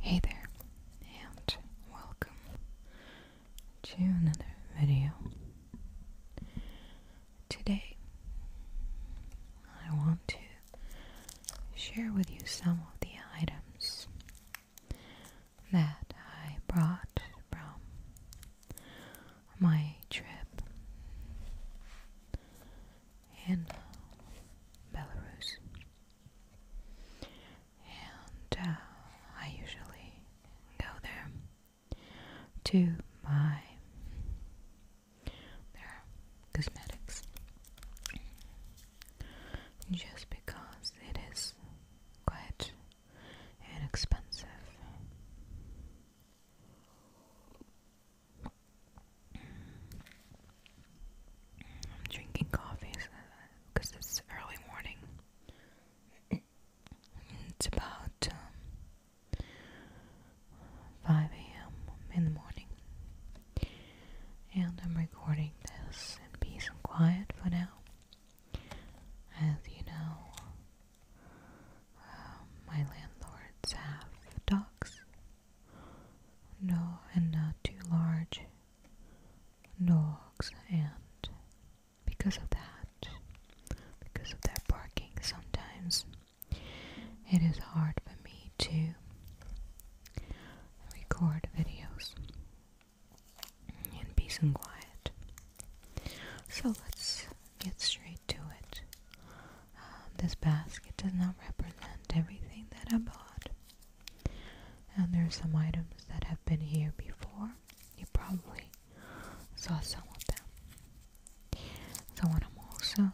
Hey there, and welcome to another video. Today, I want to share with you some of the items that I brought from my trip in Belarus. And uh, I usually go there to buy their cosmetics just because it is quite inexpensive. I'm drinking coffee because it's early morning. It's about um, 5 a.m. in the morning. And I'm recording this in peace and quiet for now. As you know, um, my landlords have dogs, no, and not too large. Dogs, and because of that, because of their barking, sometimes it is hard for me to record videos in peace and quiet. So let's get straight to it. Um, this basket does not represent everything that I bought. And there are some items that have been here before. You probably saw some of them. So what I'm also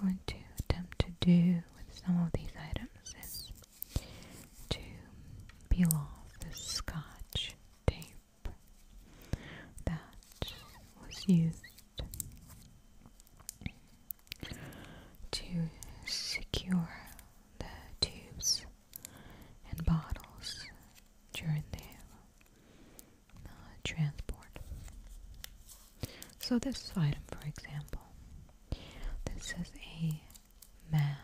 going to attempt to do with some of these items is to peel off the scotch tape that was used to secure the tubes and bottles during the uh, transport. So, this item, for example, this is a mask.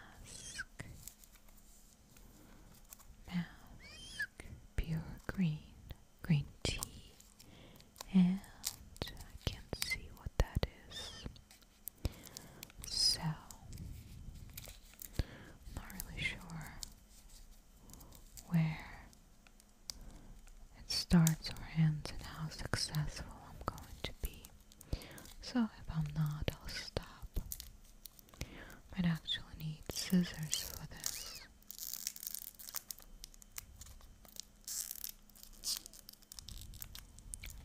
Mask, pure green, green tea, and I can't see what that is. So, I'm not really sure where it starts or ends and how successful I'm going to be. So, if I'm not, I'll stop. Might actually need scissors for this.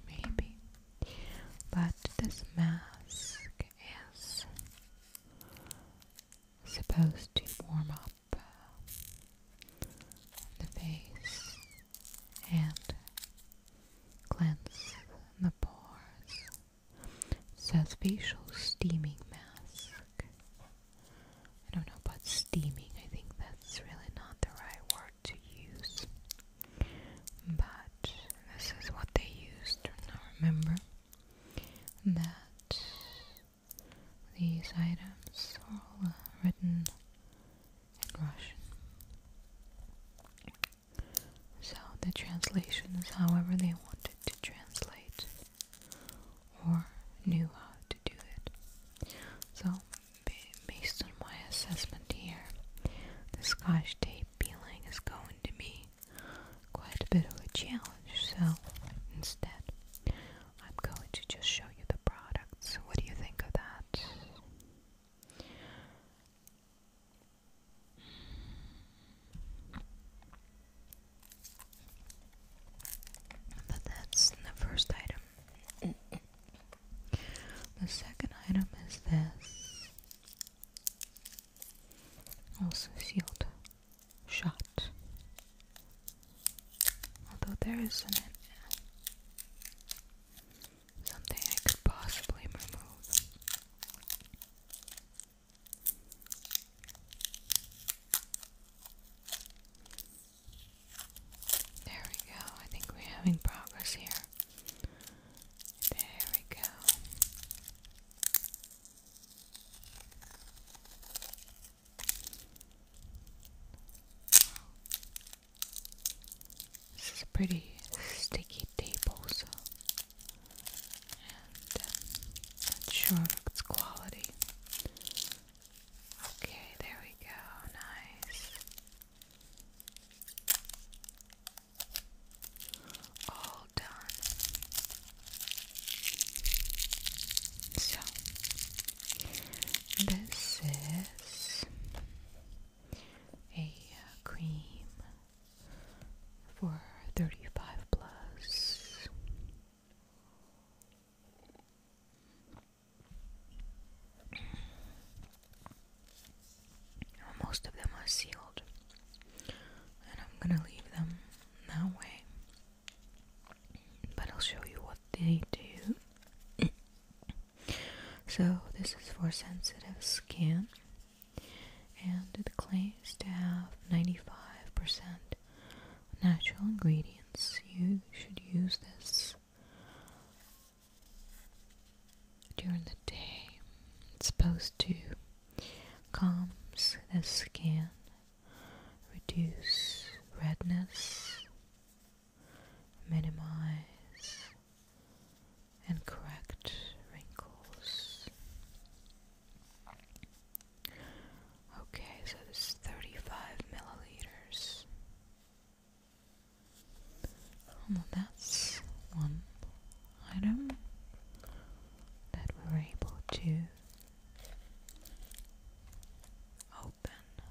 Maybe, but this mask is supposed to warm up uh, the face and cleanse the pores. It says facial steaming mask. I don't know about steaming, I think that's really not the right word to use. But this is what they used. Now remember that these items are all written in Russian. So the translations, however they wanted to translate or knew how to do it. So, based on my assessment here, the scotch tape peeling is going to be quite a bit of a challenge. So, instead, I'm going to just show you the products. What do you think of that? But that's the first item. the second item is this. Also sealed shut. Although there something I could possibly remove. There we go. I think we're having progress here. There we go. This is pretty sticky tape, also and uh, not sure of its quality. Okay, there we go, nice. All done. So, this is a uh, cream for 35 plus most of them are sealed, and I'm gonna leave them that way. But I'll show you what they do. so, this is for sensitive skin, and it claims to have 95% natural ingredients. You should use this during the day. It's supposed to calms the skin, reduce redness, minimize and correct wrinkles. Okay, so this is 35 milliliters. Well, that's one item that we were able to open.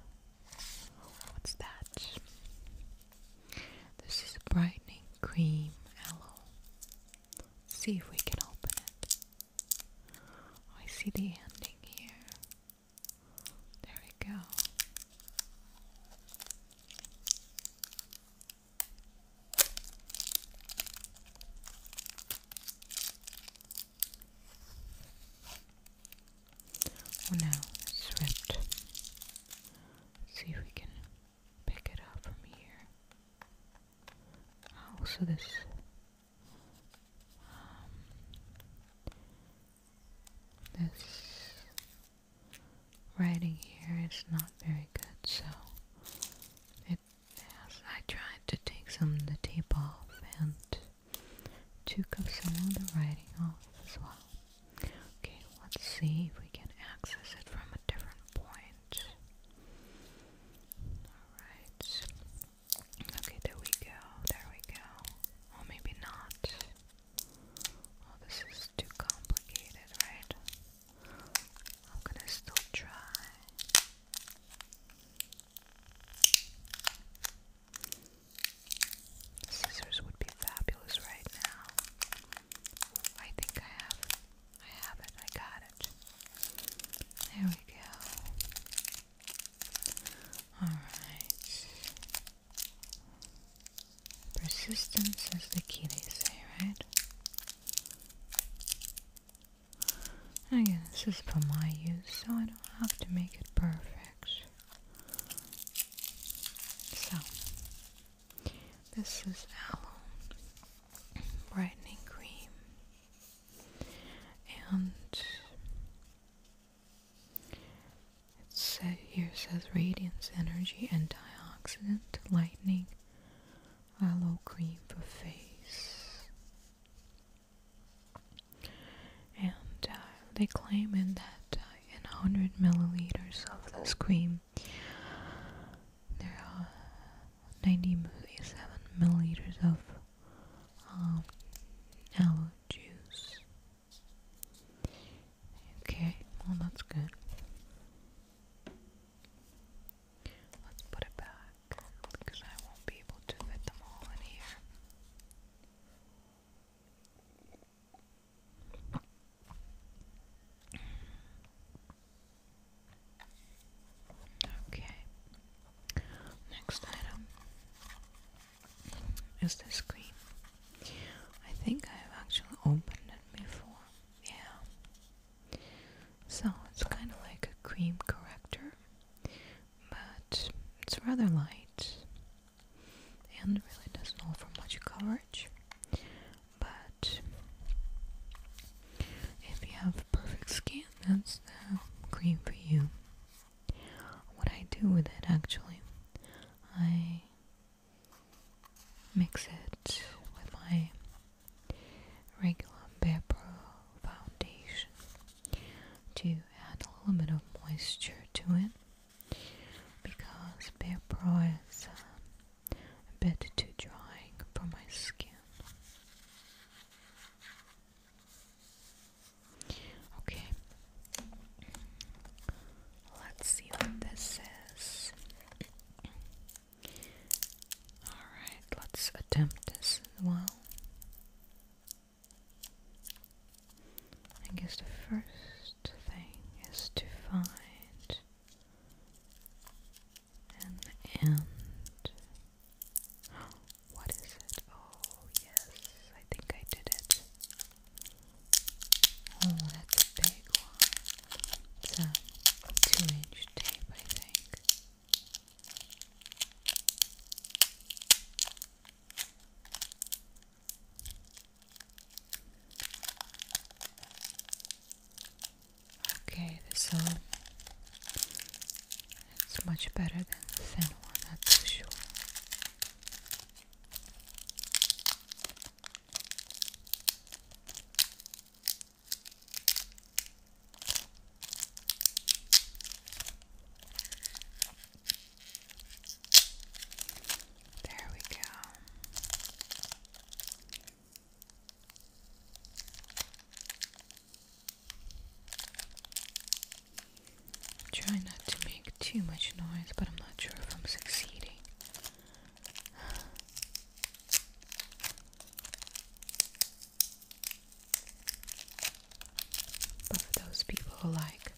What's that? This is brightening cream aloe. Let's see if we can open it. Oh, I see the ending here. There we go. Oh no, see if we can pick it up from here. Oh, so this um, this writing here is not very good, so it has, I tried to take some of the tape off and took up some of the writing off as well. Okay, let's see if we can access it from a different point right. Alright. Okay, there we go. There we go. Or oh, well, maybe not. Oh, this is too complicated, right? I'm gonna still try. Scissors would be fabulous right now. I think I have I have it. I got it. There we go. Alright. Persistence is the key, they say, right? Again, this is for my use, so I don't have to make it perfect. So, this is aloe brightening cream and it says here says radiance energy antioxidant lightning aloe cream for face and uh, they claim in that uh, in 100 milliliters of this cream there are 97 milliliters of um, juice. Okay, well, that's good. Let's put it back because I won't be able to fit them all in here. Okay. Next item is this cream. I think I've actually opened it before. Yeah. So it's kind of like a cream corrector, but it's rather light and really doesn't offer much coverage but if you have perfect skin, that's the cream for you. What I do with it actually, I mix it with my regular pepper foundation to add a little bit of moisture to it because pepper is um, a bit too drying for my skin. Okay, let's see what this is. Alright, let's attempt this well. I guess the first thing is to find and What is it? Oh, yes, I think I did it. Oh, that's a big one. It's a two inch tape, I think. Okay, so uh, it's much better than the thin one, that's for sure. There we go. Try not to make too much noise, but I'm not sure if I'm succeeding. But for those people who like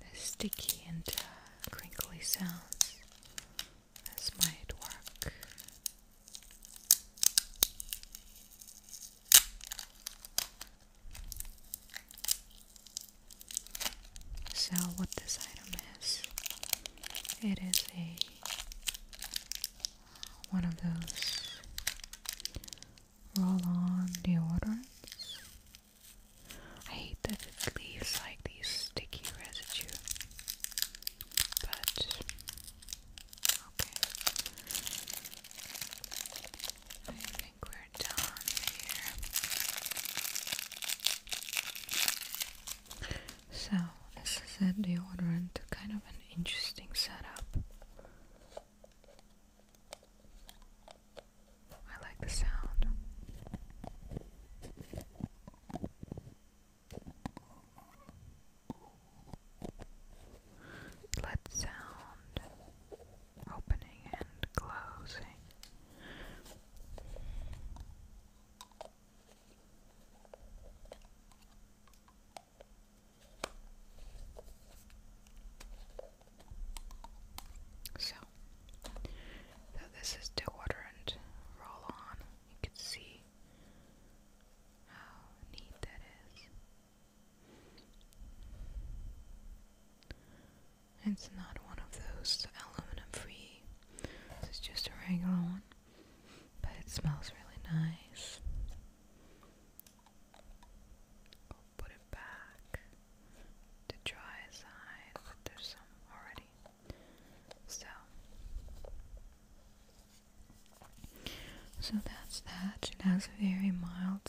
the sticky and uh, crinkly sounds, this might work. So, what this item is, it is a one of those roll on deodorants. I hate that it leaves like the sticky residue. But okay. I think we're done here. So this is a deodorant, kind of an interesting setup. I like the sound. Let sound opening and closing. So so this is deodorant roll on. You can see how neat that is. It's not one of those aluminum free. This is just a regular one. But it smells really nice. I'll put it back to dry side, there's some already so, so that's that. It has a very mild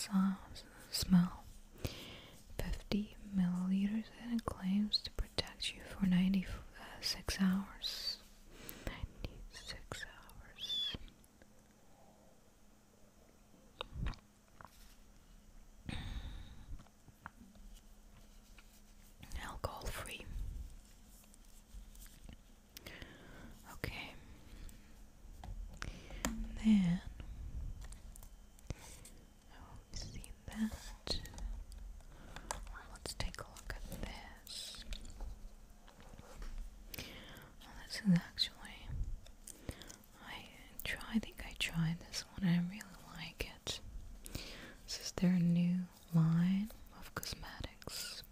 smell. 50 milliliters and it claims to protect you for 96 hours. 96 hours alcohol free. Okay. Then oh, we seen that. let's take a look at this. this is actually I try. I think I tried this one. I really like it. This is their new line of cosmetics.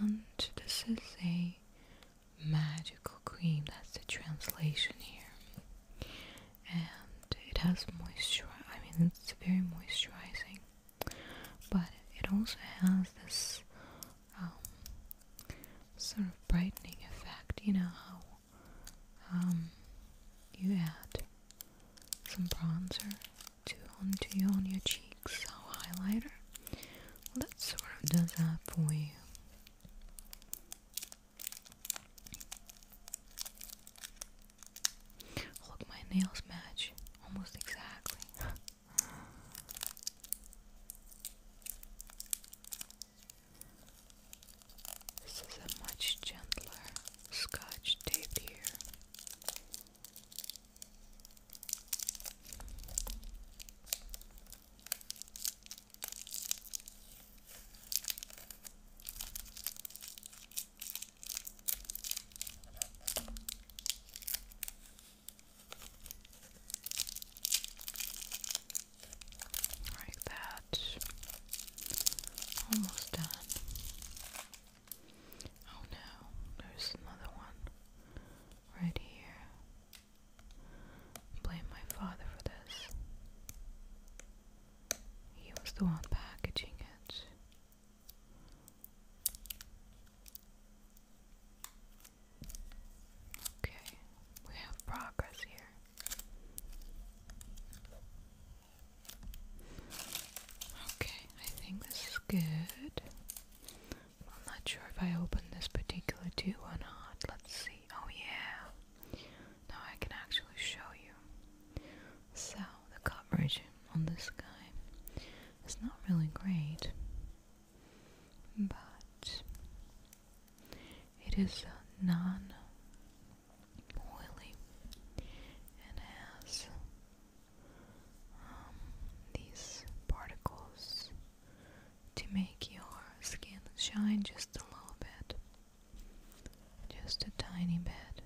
And this is a magical cream, that's the translation here. And it has moisture, I mean, it's very moisturizing, but it also has this um, sort of brightening effect. You know how um, you add some bronzer to onto on your cheeks, or highlighter. that sort of does that for you. Look, my nails match almost exactly. This is a much gentler scotch tape here like that. Almost done. Oh no, there's another one right here. Blame my father for this. He was the one packaging it. Okay, we have progress here. Okay, I think this is good. I'm not sure if I opened this particular tube or not. Let's see. Oh, yeah. Now I can actually show you. So, the coverage on this guy is not really great, but it is a non oily and has um, these particles to make your skin shine just a little bit, just a tiny bit.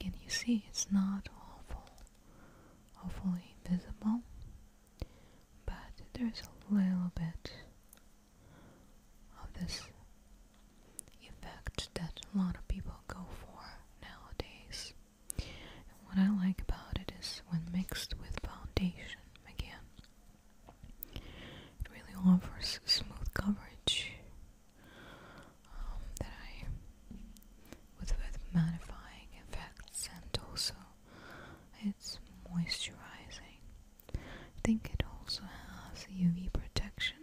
Can you see it's not awful, awfully visible, but there's a little bit of this effect that a lot of people go for nowadays. And what I like about it is when mixed with foundation again, it really offers smooth coverage um, that I with, with mattifying effects and also it's moisturizing. I think it also has UV protection,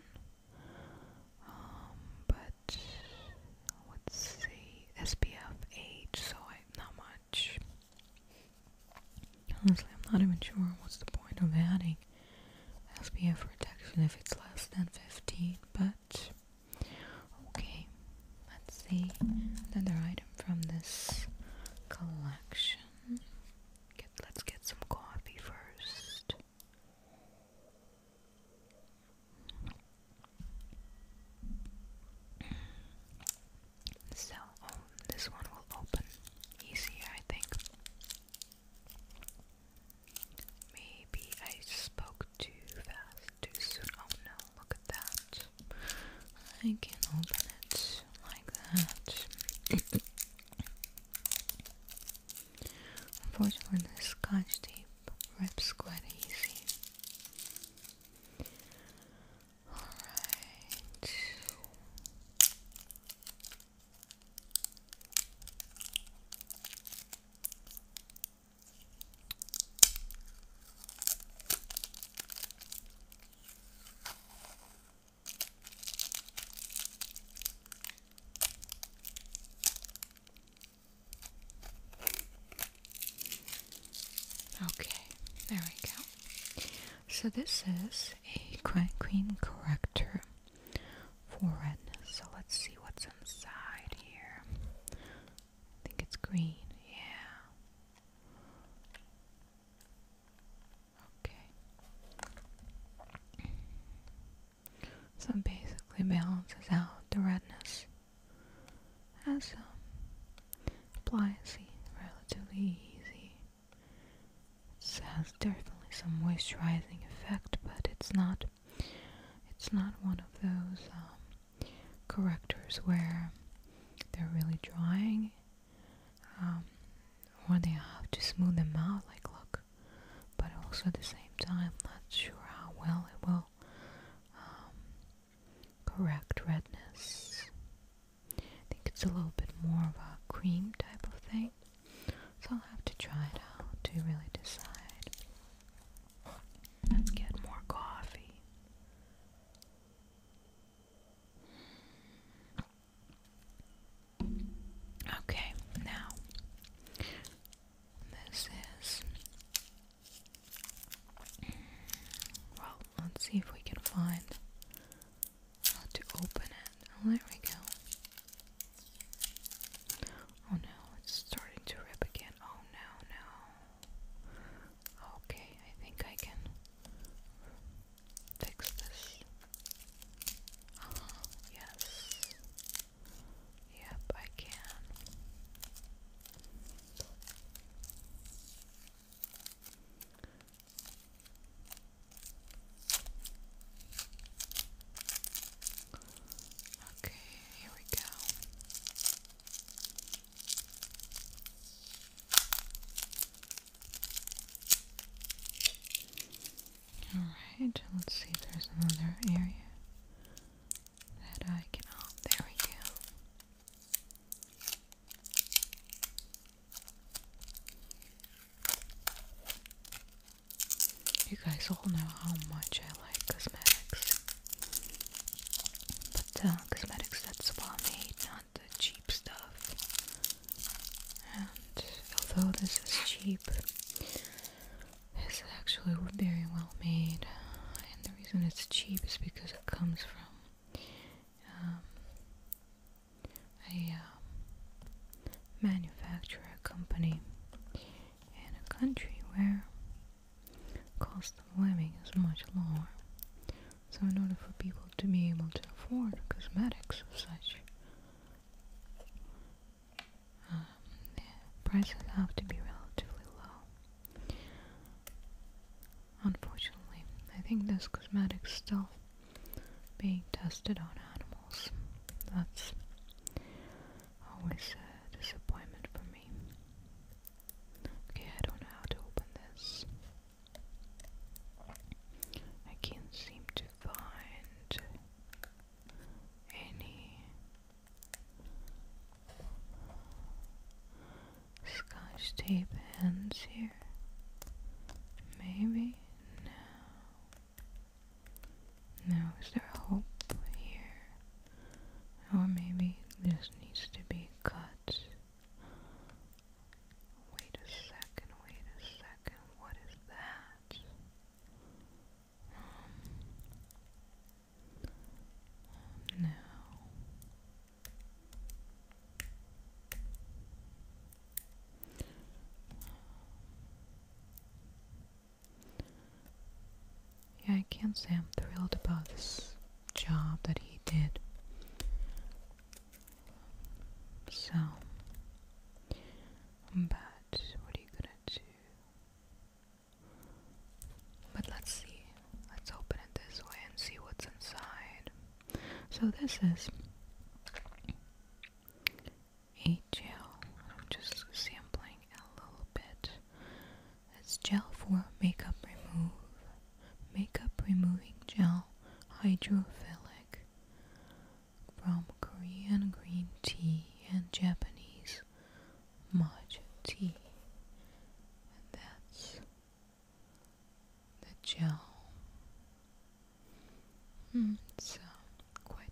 um, but let's see, SPF age, so I, not much. Honestly, I'm not even sure what's the point of adding SPF protection if it's less than 15, but okay. Let's see another item from this collection let's get some coffee first. So, um, this one will open easier, I think. Maybe I spoke too fast, too soon. Oh no, look at that. I can open it like that. Unfortunately, the scotch tape rips quite easy. Alright. Okay, there we go. So this is a quinquine corrector for redness. So let's see what's inside here. I think it's green, yeah. Okay. So it basically balances out the redness as some um, applies relatively easy. It has definitely some moisturizing effect, but it's not it's not one of those um, correctors where they're really drying um, or they have to smooth them out like look but also at the same time not sure how well it will um, correct redness I think it's a little bit more of a cream type of thing so I'll have to try it out to really decide let's get more coffee Okay, now this is. Well, let's see if we can find how to open it. Oh, there we go. Oh no, it's starting to rip again. Oh no, no. Okay, I think I can fix this. Uh-huh. Yes. Yep, I can. Okay, here we go. Alright, let's see if there's another area that I can. Oh, there we go. You guys all know how much I like cosmetics. But uh, cosmetics that spa made, the cheap stuff. And although this is cheap, it's actually very well made. And the reason it's cheap is because it comes from um, a um, manufacturer company in a country where cost of living is much lower. So in order for people to be able to afford cosmetics of such, um, the prices have to be relatively low. Unfortunately, I think this cosmetic stuff being tested on animals, that's always a disappointment for me. Okay, I don't know how to open this. I can't seem to find any scotch tape ends here. Maybe? No. Now, is there hope here? Or maybe this needs to be cut Wait a second, wait a second, what is that? Um, no. Yeah, I can't say I'm thrilled about this job that he did. So, but what are you gonna do? But let's see. Let's open it this way and see what's inside. So this is a gel. I'm just sampling a little bit. It's gel for makeup remove makeup removing gel hydrophilic from Korean green tea and Japanese matcha tea. And that's the gel. Mm, it's uh, quite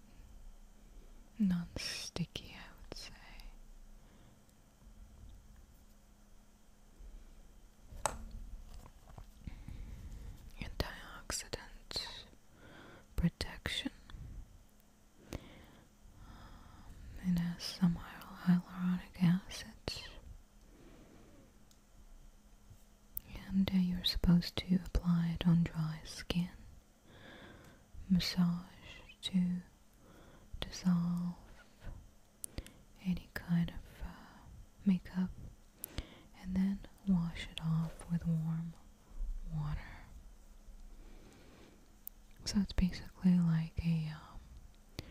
non-sticky, I would say antioxidant protection. Um, it has some hyaluronic acid, and uh, you're supposed to apply it on dry skin. Massage to dissolve any kind of uh, makeup and then wash it off with warm water. So it's basically like a um,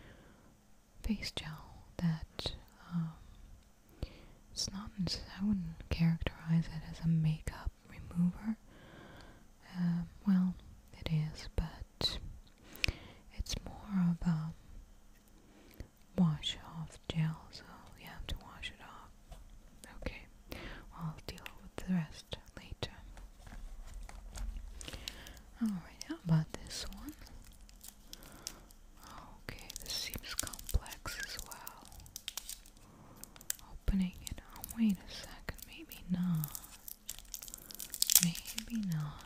face gel that it's um, not, I wouldn't characterize it as a makeup remover. Um, well, it is, but it's more of a um, Wash off gel, so you have to wash it off. Okay, I'll deal with the rest later. Alright, how about this one? Okay, this seems complex as well. Opening it. Oh, wait a second. Maybe not. Maybe not.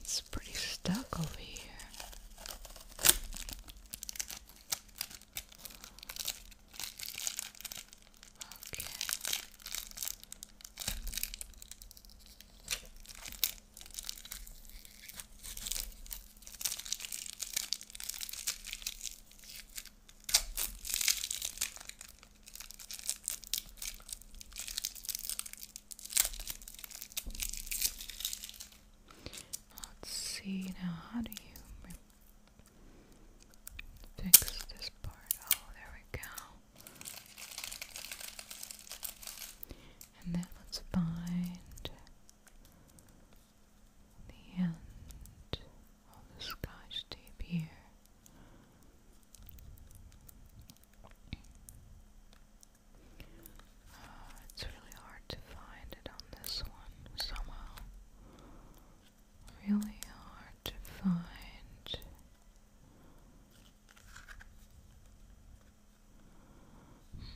It's pretty stuck over here. Okay. Let's see now, how do you fix this part? Oh, there we go. And then let's find the end of the scotch tape here. Uh, it's really hard to find it on this one somehow. Really hard to find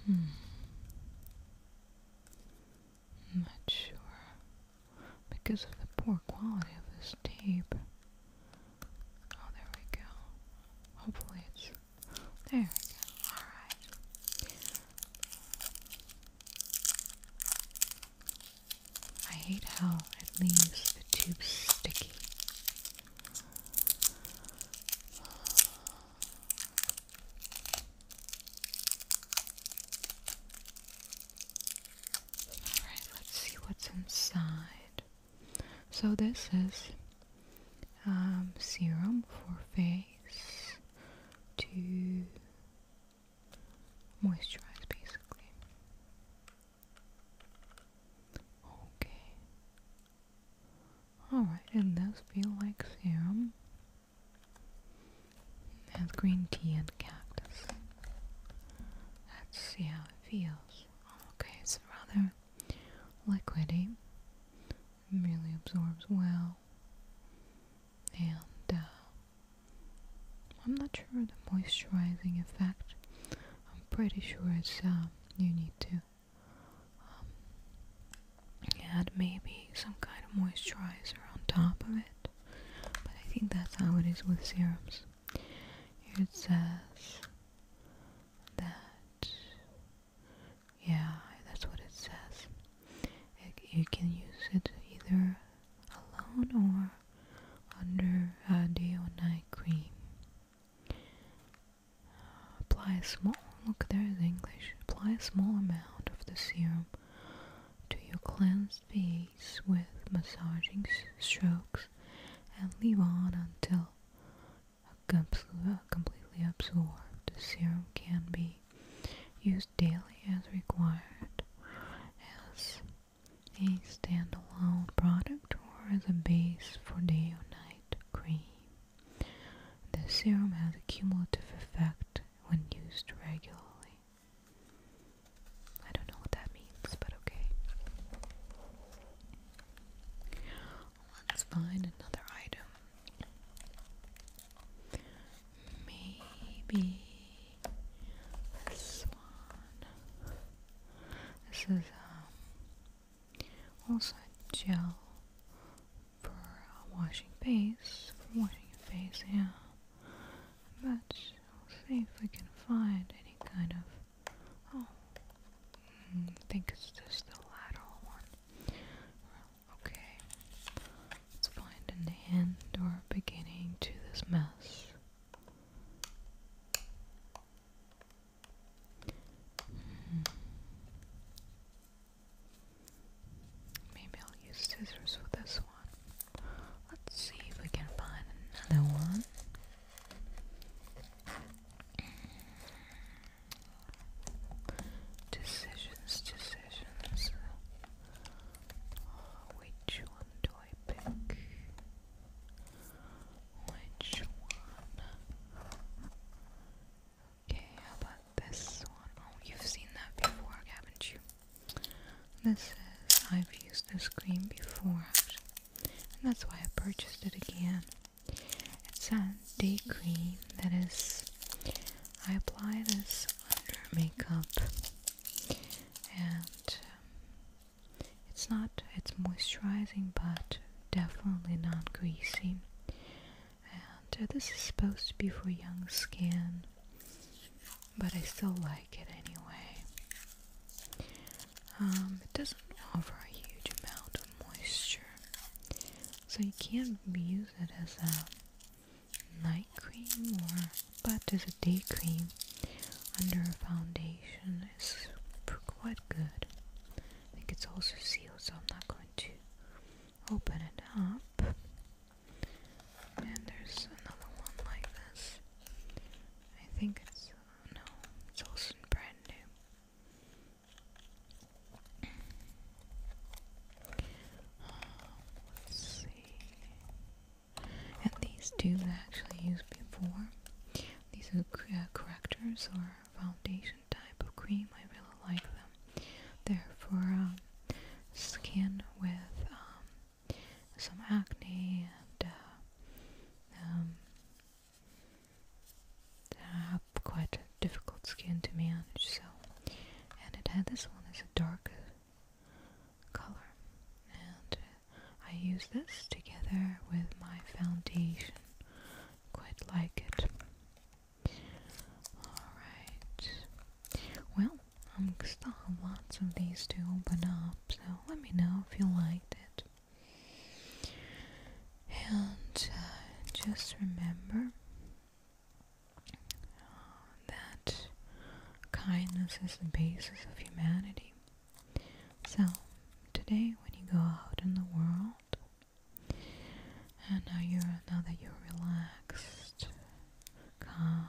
Hmm. not sure. Because of the poor quality of this tape. Oh, there we go. Hopefully it's... There we go. Alright. I hate how it leaves the tube sticky. Alright, let's see what's inside. So, this is um, serum for face to moisturize basically. Okay. Alright, it does feel like serum. has green tea and cactus. Let's see how it feels. Okay, it's rather liquidy. really absorbs well. And uh, I'm not sure the moisturizing effect. I'm pretty sure it's uh, you need to um, add maybe some kind of moisturizer on top of it. But I think that's how it is with serums. it says that, yeah, that's what it says. you can use it either alone or under a uh, day or night cream. Apply a small, look there is English, apply a small amount of the serum to your cleansed face with massaging strokes and leave on until uh, completely absorbed. The serum can be used daily as required as a standalone product or as a base for day or night cream. The serum has a cumulative effect when used regularly. I don't know what that means, but okay. Let's find another item. Maybe this one. This is um, also gel for washing face, for washing your face, yeah. But we'll see if we can find any kind of. Oh, hmm, I think it's just the lateral one. okay, let's find an end or beginning to this mess. Maybe I'll use scissors with this one. Let's see if we can find another one. Decisions, decisions. Oh, which one do I pick? Which one? Okay, how about this one? Oh, you've seen that before, haven't you? This is, I've used this cream before, and that's why I purchased it again. It's a day cream that is, I apply this under makeup, and um, it's not, it's moisturizing, but definitely not greasy. And uh, this is supposed to be for young skin, but I still like it anyway. Um, it doesn't offer a huge amount of moisture, so you can't use it as a night cream or but as a day cream under a foundation one is quite good. I think it's also sealed, so I'm not going to open it up. And there's another one like this. I think it's uh, no, it's also brand new. Uh, let's see. And these two I actually used before. These are uh, correctors or foundation type of cream. I really like them. They're for um, skin with um, some acne and uh, um, have quite difficult skin to manage. So, and it had this one is a dark color, I use this together with my foundation. Quite like it. Alright. Well, I'm still have lots of these to open up, so let me know if you liked it. And uh, just remember uh, that kindness is the basis of humanity. So, today when you go out in the world and now you're now that you're relaxed, calm,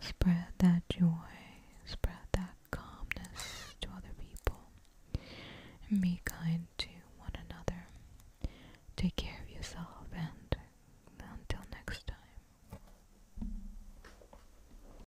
spread that joy, spread that calmness to other people. And be kind to one another. Take care of yourself and until next time.